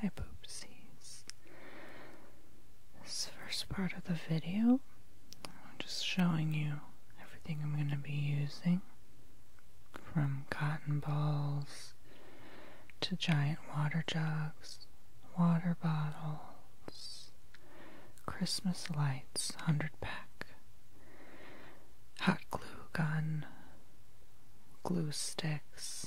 Hi poopsies. This first part of the video, I'm just showing you everything I'm going to be using. From cotton balls to giant water jugs, water bottles, Christmas lights, 100 pack, hot glue gun, glue sticks,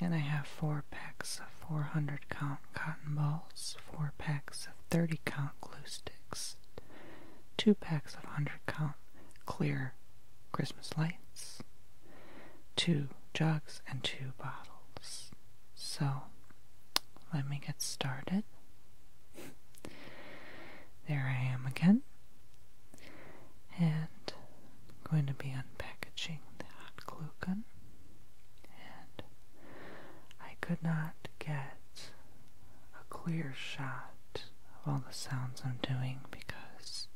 and I have four packs of 400 count cotton balls, four packs of 30 count glue sticks, two packs of 100 count clear Christmas lights, two jugs, and two bottles. So let me get started. there I am again and I'm going to be unpackaging the hot glue gun and I could not get a clear shot of all the sounds I'm doing because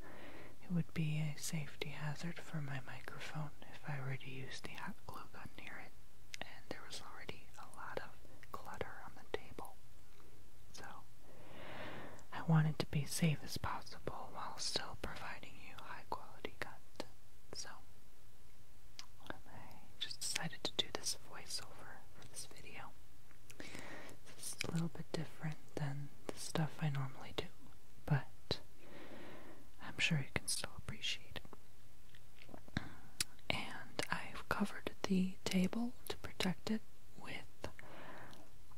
it would be a safety hazard for my microphone if I were to use the hot glue gun near it and there was already a lot of clutter on the table so I wanted to be safe as possible while still providing you high quality content. So I just decided to do this voiceover for this video. It's a little bit different than the stuff I normally do, but I'm sure you can still appreciate it. And I've covered the table to protect it with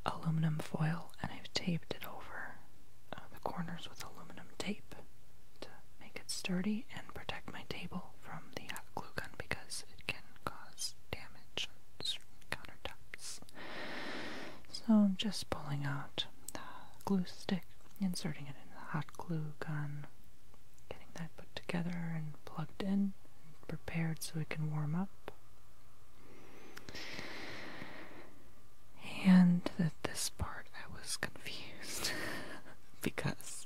aluminum foil and I've taped it over uh, the corners with aluminum tape to make it sturdy and protect my table from the hot glue gun because it can cause damage on certain countertops. So I'm just pulling out the glue stick, inserting it in the hot glue gun, getting that put together and plugged in, prepared so we can warm up. And at this part, I was confused because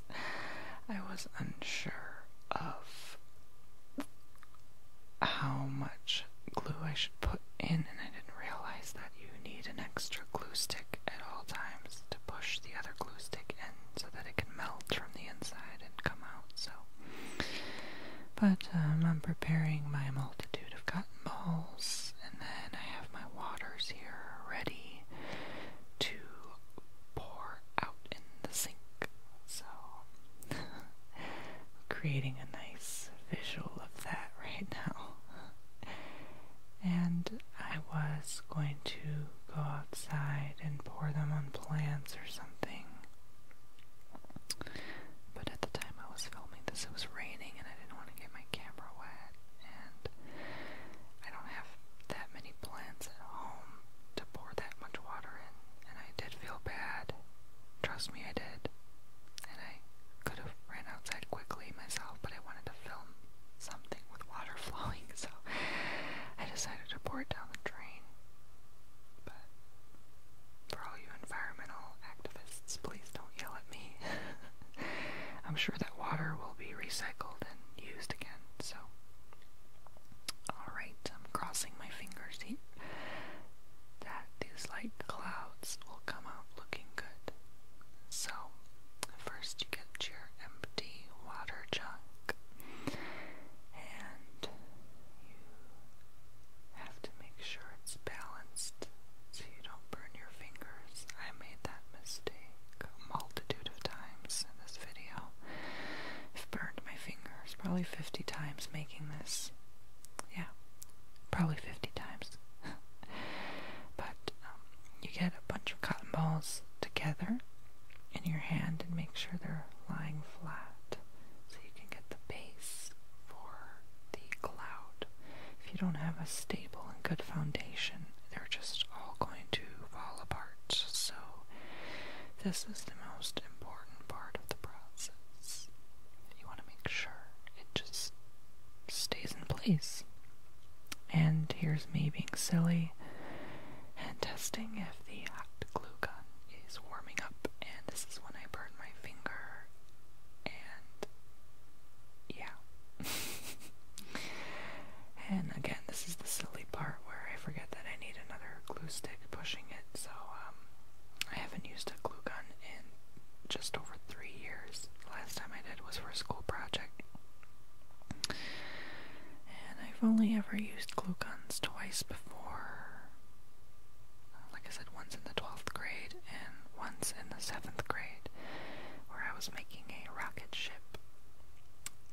I was unsure of how much glue I should put in, and I didn't realize that you need an extra glue stick at all times to push the other glue stick in so that it can melt from the inside come out, so. But um, I'm preparing my multitude of cotton balls, and then I have my waters here ready to pour out in the sink. So, creating a nice visual of that right now. and I was going to go outside and pour them on plants or something. But at the time I was filming this, it was raining and I didn't want to get my camera wet. And I don't have that many plants at home to pour that much water in. And I did feel bad. Trust me, I did. And I could have ran outside quickly myself, but I wanted to film something with water flowing, so I decided to pour it down the drain. But for all you environmental activists, please don't yell at me. I'm sure that water will be recycled and used again, so. Alright, I'm crossing my fingers here. That these light clouds will come out looking good. So, first you get your empty water jug, and you have to make sure it's balanced so you don't burn your fingers. I made that mistake a multitude of times in this video. burned my fingers probably 50 times making this. Yeah, probably 50 times. but um, you get a bunch of cotton balls together in your hand and make sure they're lying flat so you can get the base for the cloud. If you don't have a stable and good foundation, they're just all going to fall apart. So, this is the most important part of the process. You want to make sure it just stays in place. And here's me being silly and testing if if the hot glue gun is warming up, and this is when I burn my finger, and yeah. and again, this is the silly part where I forget that I need another glue stick pushing it, so um, I haven't used a glue gun in just over three years. The last time I did was for a school project. And I've only ever used glue guns twice before like I said, once in the 12th grade and once in the 7th grade, where I was making a rocket ship.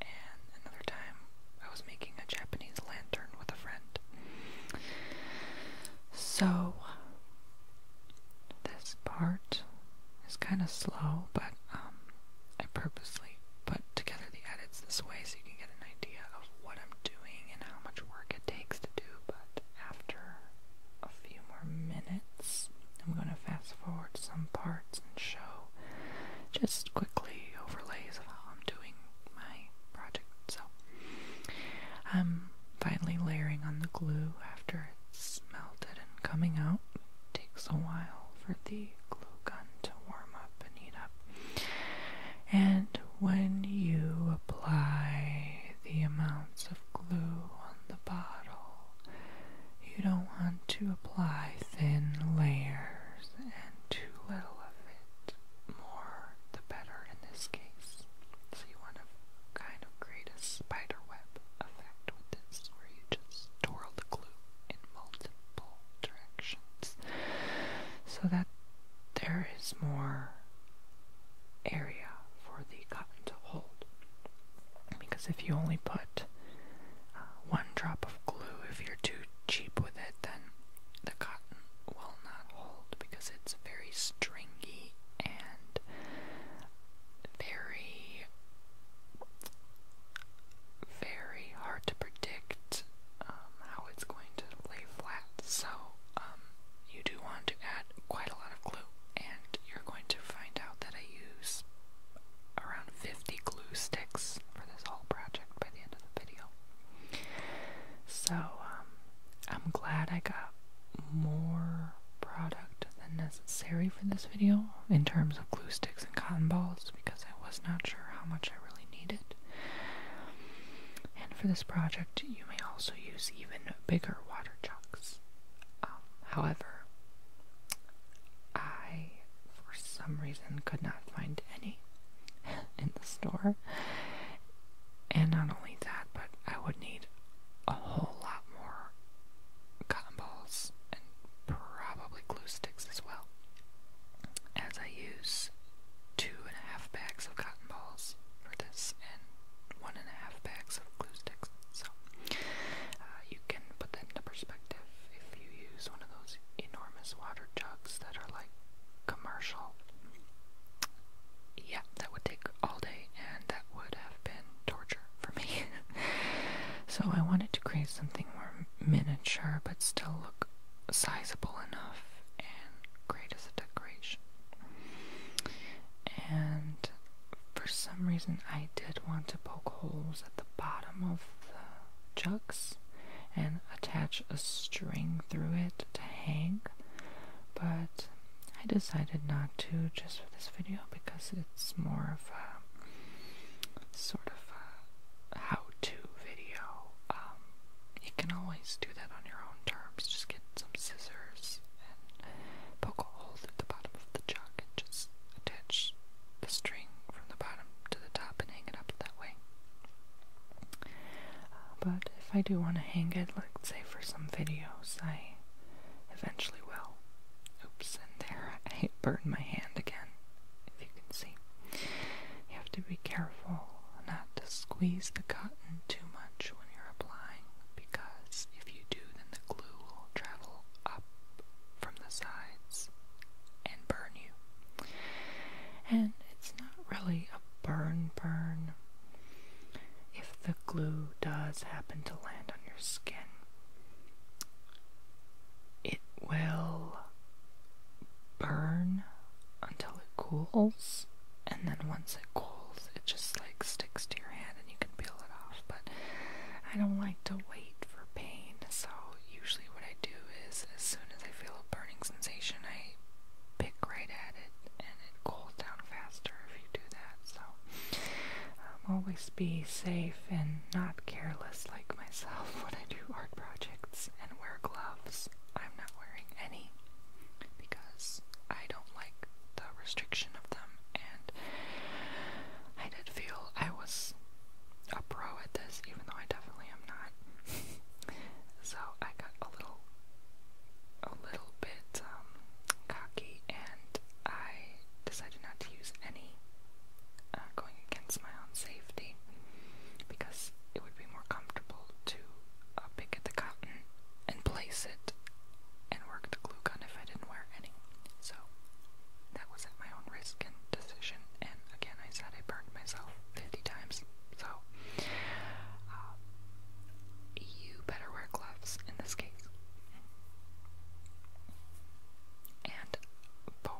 And another time, I was making a Japanese lantern with a friend. So, this part is kind of slow, but um, I purposely put together the edits this way so you can get an idea of what I'm doing and how much work it takes to do, but after a few more minutes, I'm going to fast forward some parts and show just quickly overlays of how I'm doing my project. So, I'm finally layering on the glue after it's melted and coming out. takes a while for the glue gun to warm up and heat up and when you apply the amounts of glue on the bottle, you don't want to apply thin layers and too little of it. More the better in this case. So you want to kind of create a spider web effect with this where you just twirl the glue in multiple directions. So that there is more area for the cotton to hold. Because if you only put uh, one drop of glue, if you're too cheap with it, then the cotton will not hold because it's very stringy and very, very hard to predict um, how it's going to lay flat. So, um, you do want to add quite a lot of glue, and you're going to find out that I use around 50 glue sticks for this whole project by the end of the video. So, um, I'm glad I got more product than necessary for this video in terms of glue sticks and cotton balls because I was not sure how much I really needed. And for this project, you may also use even bigger water jugs. Um, however, I, for some reason, could not find any in the store. And not only that, but I would need a whole lot more cotton balls and probably glue sticks as well as I use two and a half bags of cotton balls for this and one and a half bags of glue sticks. So uh, you can put that into perspective if you use one of those enormous water jugs that are like commercial. Yeah, that would take all day and that would have been torture for me. so I wanted to create something more miniature but still look sizable enough and great as a decoration. And for some reason, I did want to poke holes at the bottom of the jugs and attach a string through it to hang, but I decided not to just for this video because it's more of a sort of a how to video um, you can always do that on your own terms. Just get some scissors and poke a hole through the bottom of the jug and just attach the string from the bottom to the top and hang it up that way. Uh, but if I do want to hang it, like say for some videos, I eventually will. Oops, and there I burned my hand again, if you can see. You have to be careful not to squeeze the cotton too much when you're applying because if you do, then the glue will travel up from the sides and burn you. And it's not really a burn burn if the glue does happen to land on your skin. It will burn until it cools, and then once it cools, it just like sticks to your hand and you can peel it off. But I don't like to wait for pain, so usually what I do is as soon as I feel a burning sensation, I pick right at it and it cools down faster if you do that. So um, always be safe and not careless like myself when I do art projects and wear gloves. I'm not wearing any because I don't like the restriction of them, and I did feel I was a pro at this, even though I definitely am not. so I got a little, a little bit um, cocky, and I decided not to use any, uh, going against my own safety because it would be more comfortable to uh, pick at the cotton and place it and work the glue gun if I didn't wear any. So that was at my own risk and decision. And again, I said I burned myself 50 times. So uh, you better wear gloves in this case. And for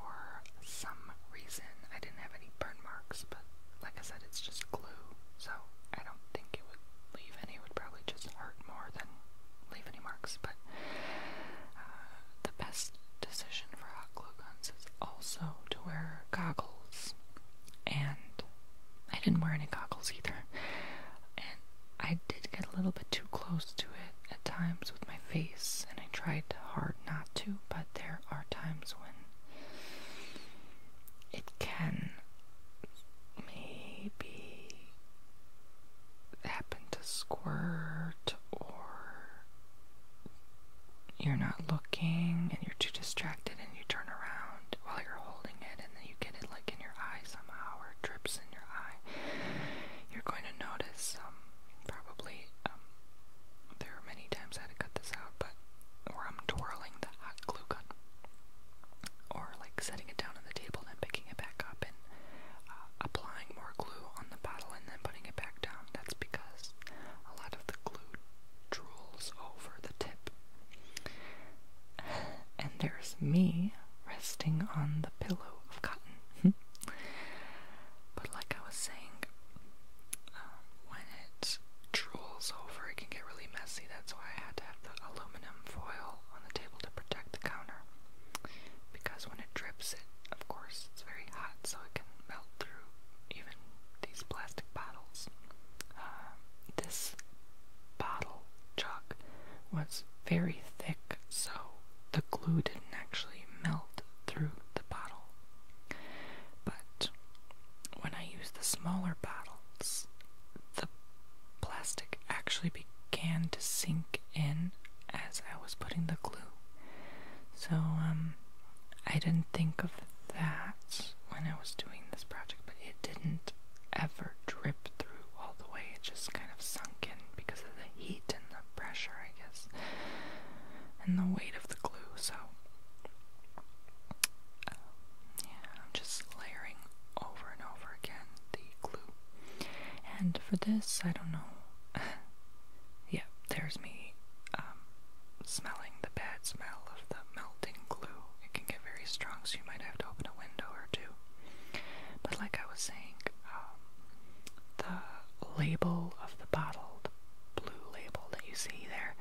some reason I didn't have any burn marks, but like I said, it's just glue, so I don't think it would leave any. It would probably just hurt more than leave any marks, but uh, the best decision for hot glue guns is also to wear goggles. And I didn't wear any goggles either. And I did get a little bit too close to it at times with my face, and I tried hard not to, but there are times when it can maybe happen to squirt or you're not looking and you're too distracted and you turn around while you're holding it and then you get it like in your eye somehow or drips in your eye you're going to notice um, probably, um, there are many times I had to cut this out, but where I'm twirling the hot glue gun, or like setting it down on the table and picking it back up and uh, applying more glue on the bottle and then putting it back down. That's because a lot of the glue drools over the tip. And there's me resting on the pillow of cotton. but like I was saying, um, when it drools over, it can get really messy. That's why I had to have the aluminum foil on the table to protect the counter. Because when it drips, it, of course, it's very hot, so it can melt through even these plastic bottles. Uh, this bottle jug was very thick, so the glue didn't actually melt through the bottle but when I used the smaller bottles, the plastic actually began to sink in as I was putting the glue. So, um, I didn't think of that when I was doing this project, but it didn't ever drip through all the way. It just kind of sunk in because of the heat and the pressure, I guess, and the weight of the glue. So, yeah, i just layering over and over again the glue. And for this, I don't know. yeah, there's me um, smelling the bad smell of the melting glue. It can get very strong, so you might have to open a window or two. But like I was saying, um, the label of the bottle, blue label that you see there.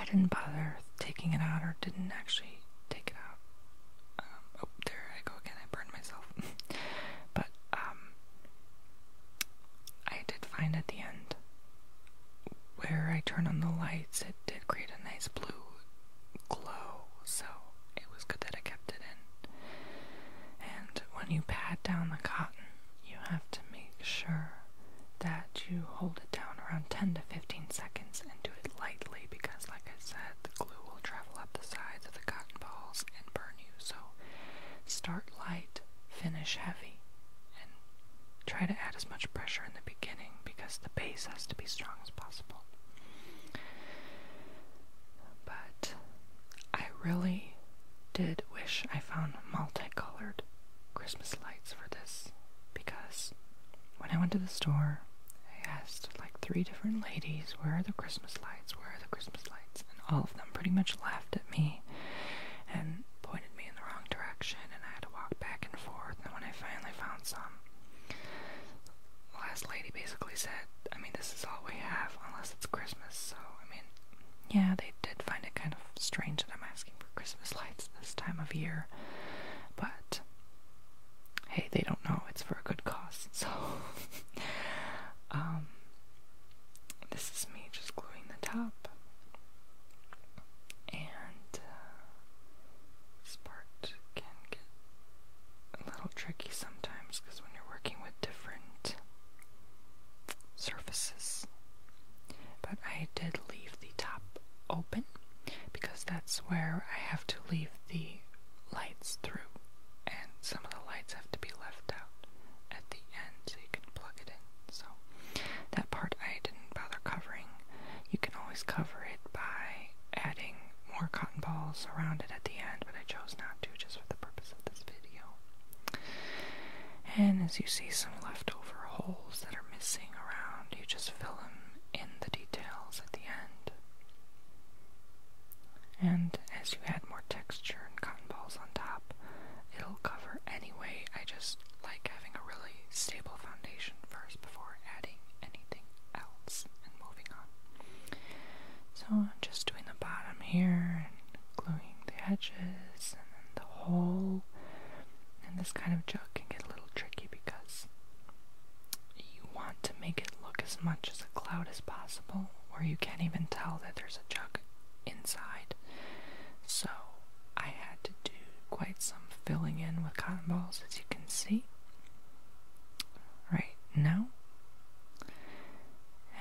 I didn't bother taking it out or didn't actually take it out. Um, oh, there I go again. I burned myself. but um, I did find at the end where I turn on the lights, it did create a nice blue glow. So it was good that I kept it in. And when you pat down the cotton you have to make sure that you hold it down around 10 to 15 seconds and do it lightly because, like I said, the glue will travel up the sides of the cotton balls and burn you. So start light, finish heavy, and try to add as much pressure in the beginning because the base has to be strong as possible. But I really did wish I found multicolored Christmas lights for this because when I went to the store, I asked like three different ladies, Where are the Christmas lights? Where are the Christmas lights? And all of them pretty much laughed at me and pointed me in the wrong direction, and I had to walk back and forth. And when I finally found some, the last lady basically said, I mean, this is all we have unless it's Christmas, so I mean, yeah, they did find it kind of strange that I'm asking for Christmas lights this time of year, but hey, they don't know it's for a good cause, so um, this is me just gluing the top and uh, this part can get a little tricky sometimes because when you're working with different surfaces. But I did leave the top open because that's where I have to leave the lights through, and some of the lights have to be left out at the end so you can plug it in. So that part I didn't bother covering. You can always cover it by adding more cotton balls around it at the end, but I chose not to just for the purpose of this video. And as you see some leftover holes that are missing around, you just fill them in the details at the end. And as you add more texture and cotton balls on top, it'll cover anyway. I just like having a really stable foundation first before adding anything else and moving on. So I'm just doing the bottom here gluing the edges and then the hole. And this kind of job can get a little tricky because you want to make it look as much as a cloud as possible, or you can't even tell that there's a jug inside. So I had to do quite some filling in with cotton balls, as you can see right now.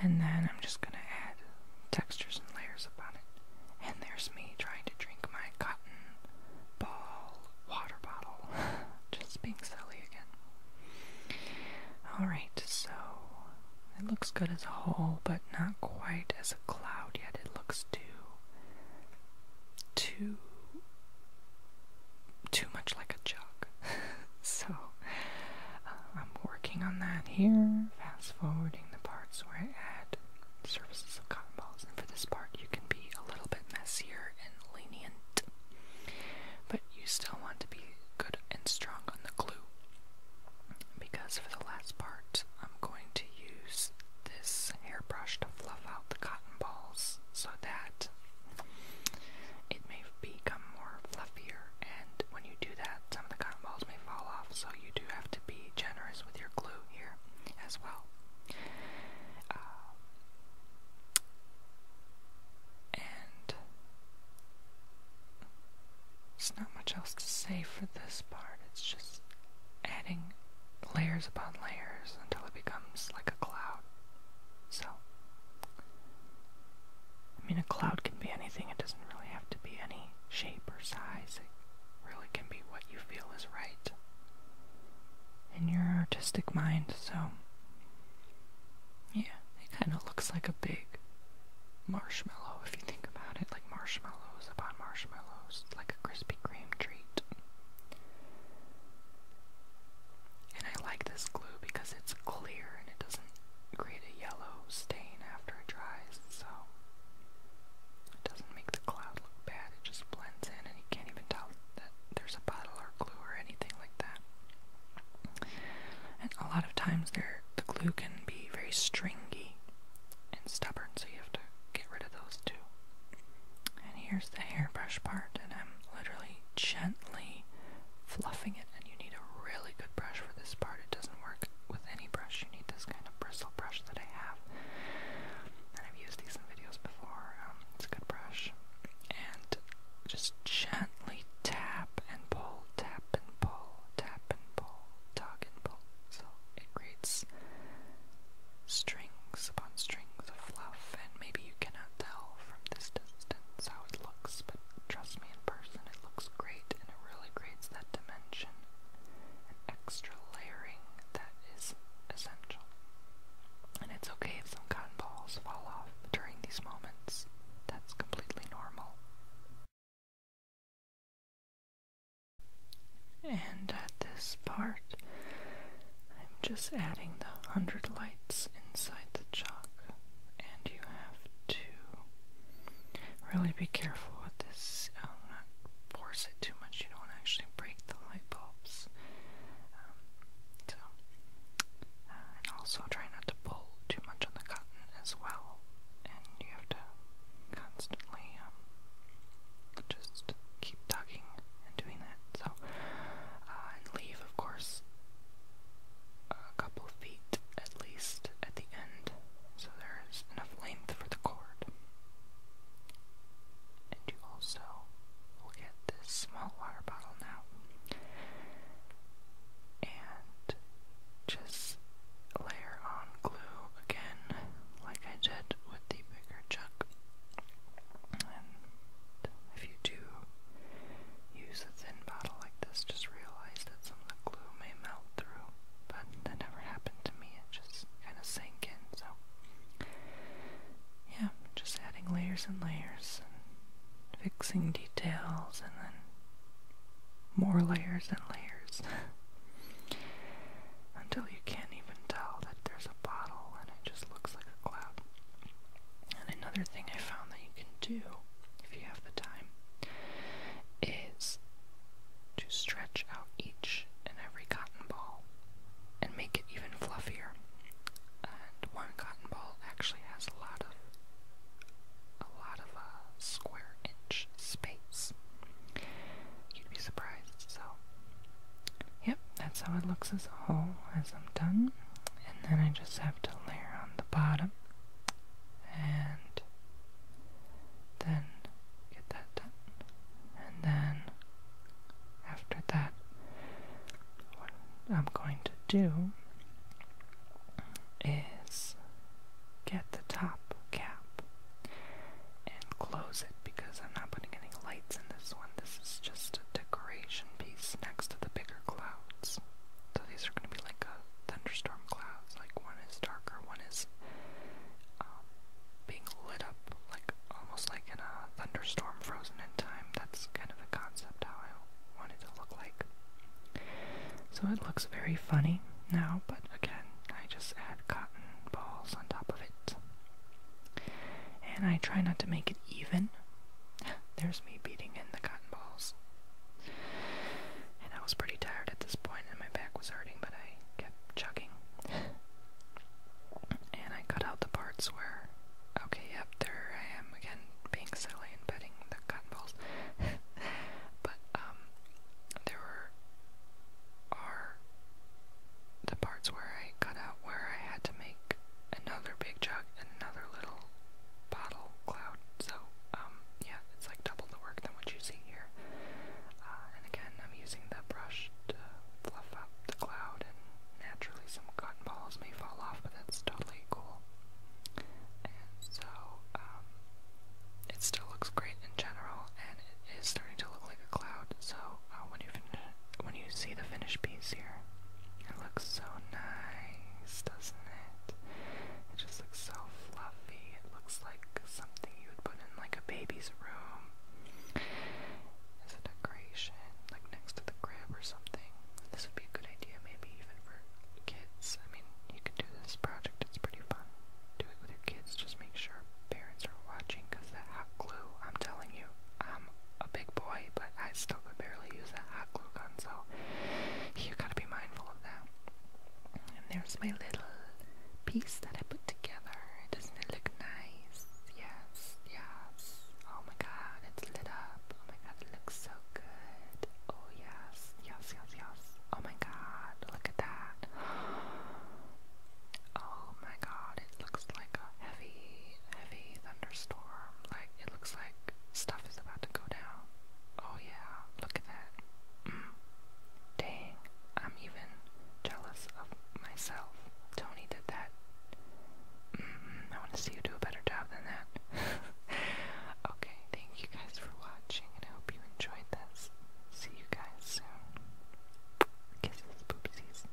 And then I'm just gonna add textures and layers upon it. And there's me trying to drink my cotton ball water bottle. just being silly again. Alright, so it looks good as a whole, but not quite as a cloud yet. It looks too too too much like a jug. so uh, I'm working on that here, fast forwarding the parts where I add surfaces of cotton balls. And for this part, you can be a little bit messier and lenient, but you still want to be good and strong on the glue. Because for the last part, I'm going to use this hairbrush to fluff out the cotton balls so that it may become more fluffy and when you do that, some of the cotton balls may fall off, so you do have to be generous with your glue here as well. Uh, and there's not much else to say for this part, it's just adding layers upon layers until it becomes like a cloud. So, I mean, a cloud can be anything, it doesn't really have to be any shape or size. It really can be what you feel is right in your artistic mind, so yeah, it kind of looks like a big marshmallow if you think about it, like marshmallows upon marshmallows, like a Krispy Kreme treat. And I like this glue because it's clear and it doesn't create a yellow stain after it dries, so it doesn't make the cloud look bad, it just blends in and you can't even tell that there's a bottle or glue or anything like that. And a lot of times the glue can be very stringy and stubborn, so you have to get rid of those too. And here's the hairbrush part, and I'm literally gently fluffing it and you need a really good brush for this part. It doesn't work with any brush. You need this kind of bristle brush that I have. And I've used these in videos before. Um, it's a good brush. And just gently tap and pull, tap and pull, tap and pull, tug and pull. So it creates strings upon strings of fluff, and maybe you cannot tell from this distance how it looks, but Trust me, in person it looks great and it really creates that dimension and extra layering that is essential. And it's okay if some cotton balls fall off during these moments. That's completely normal. And at this part, I'm just adding the 100 lights inside the chalk, and you have to Really be careful with this. Um, not force it too much. You don't want to actually break the light bulbs. Um, so, uh, and also try not to pull too much on the cotton as well. And you have to constantly um, just keep tugging and doing that. So, uh, and leave, of course, a couple feet at least at the end, so there's enough length for the cord. And you also will get this small water bottle now. And just layer on glue again, like I did with the bigger chuck. And if you do use a thin bottle like this, just realize that some of the glue may melt through but that never happened to me. It just kind of sank in. So, yeah, just adding layers and layers fixing details and then more layers and layers until you can't even tell that there's a bottle and it just looks like a cloud. And another thing I found that you can do if you have the time, is to stretch out each and every cotton ball and make it even fluffier. And one cotton ball actually has a lot of a lot of uh, square inch space. You'd be surprised. So, yep, that's how it looks as a whole as I'm done, and then I just have to layer on the bottom and then get that done. And then after that, what I'm going to do is get the top cap and close it because I'm not putting any lights in this one. This is just a decoration piece next to the bigger clouds. So these are going to be like a thunderstorm clouds. Like one is darker, one is um, being lit up, like almost like in a thunderstorm, frozen in time. That's kind of the concept how I wanted to look like. So it looks very funny now, but again, I just add cotton balls on top of it. And I try not to make it even. There's me beating in the cotton balls. And I was pretty tired at this point, and my back was hurting, but I kept chugging. and I cut out the parts where, okay, yep, there I am again, being silly and petting the cotton balls. but, um, there were, are the parts where I cut out where I had to make another big jug and another little bottle cloud. So, um, yeah, it's like double the work than what you see here. Uh, and again, I'm using the brush to fluff up the cloud, and naturally some cotton balls may fall off, but that's totally cool. And so, um, it still looks great in general, and it is starting to look like a cloud. So uh, when you when you see the finished piece here, it looks so nice doesn't it? It just looks so fluffy. It looks like something you would put in like a baby's room as a decoration, like next to the crib or something. This would be a good idea, maybe even for kids. I mean, you could do this project, it's pretty fun. Do it with your kids, just make sure parents are watching because that hot glue, I'm telling you, I'm a big boy, but I still could barely use that hot glue gun, so you gotta be mindful of that. And there's my little piece that I put together. Doesn't it look nice? Yes, yes. Oh my god, it's lit up. Oh my god, it looks so good. Oh yes, yes, yes, yes. Oh my god, look at that. Oh my god, it looks like a heavy, heavy thunderstorm. Like, it looks like stuff is about to go down. Oh yeah, look at that. Dang, I'm even jealous of myself. Tony did that. I want to see you do a better job than that. okay, thank you guys for watching, and I hope you enjoyed this. See you guys soon. Kisses, poopsies.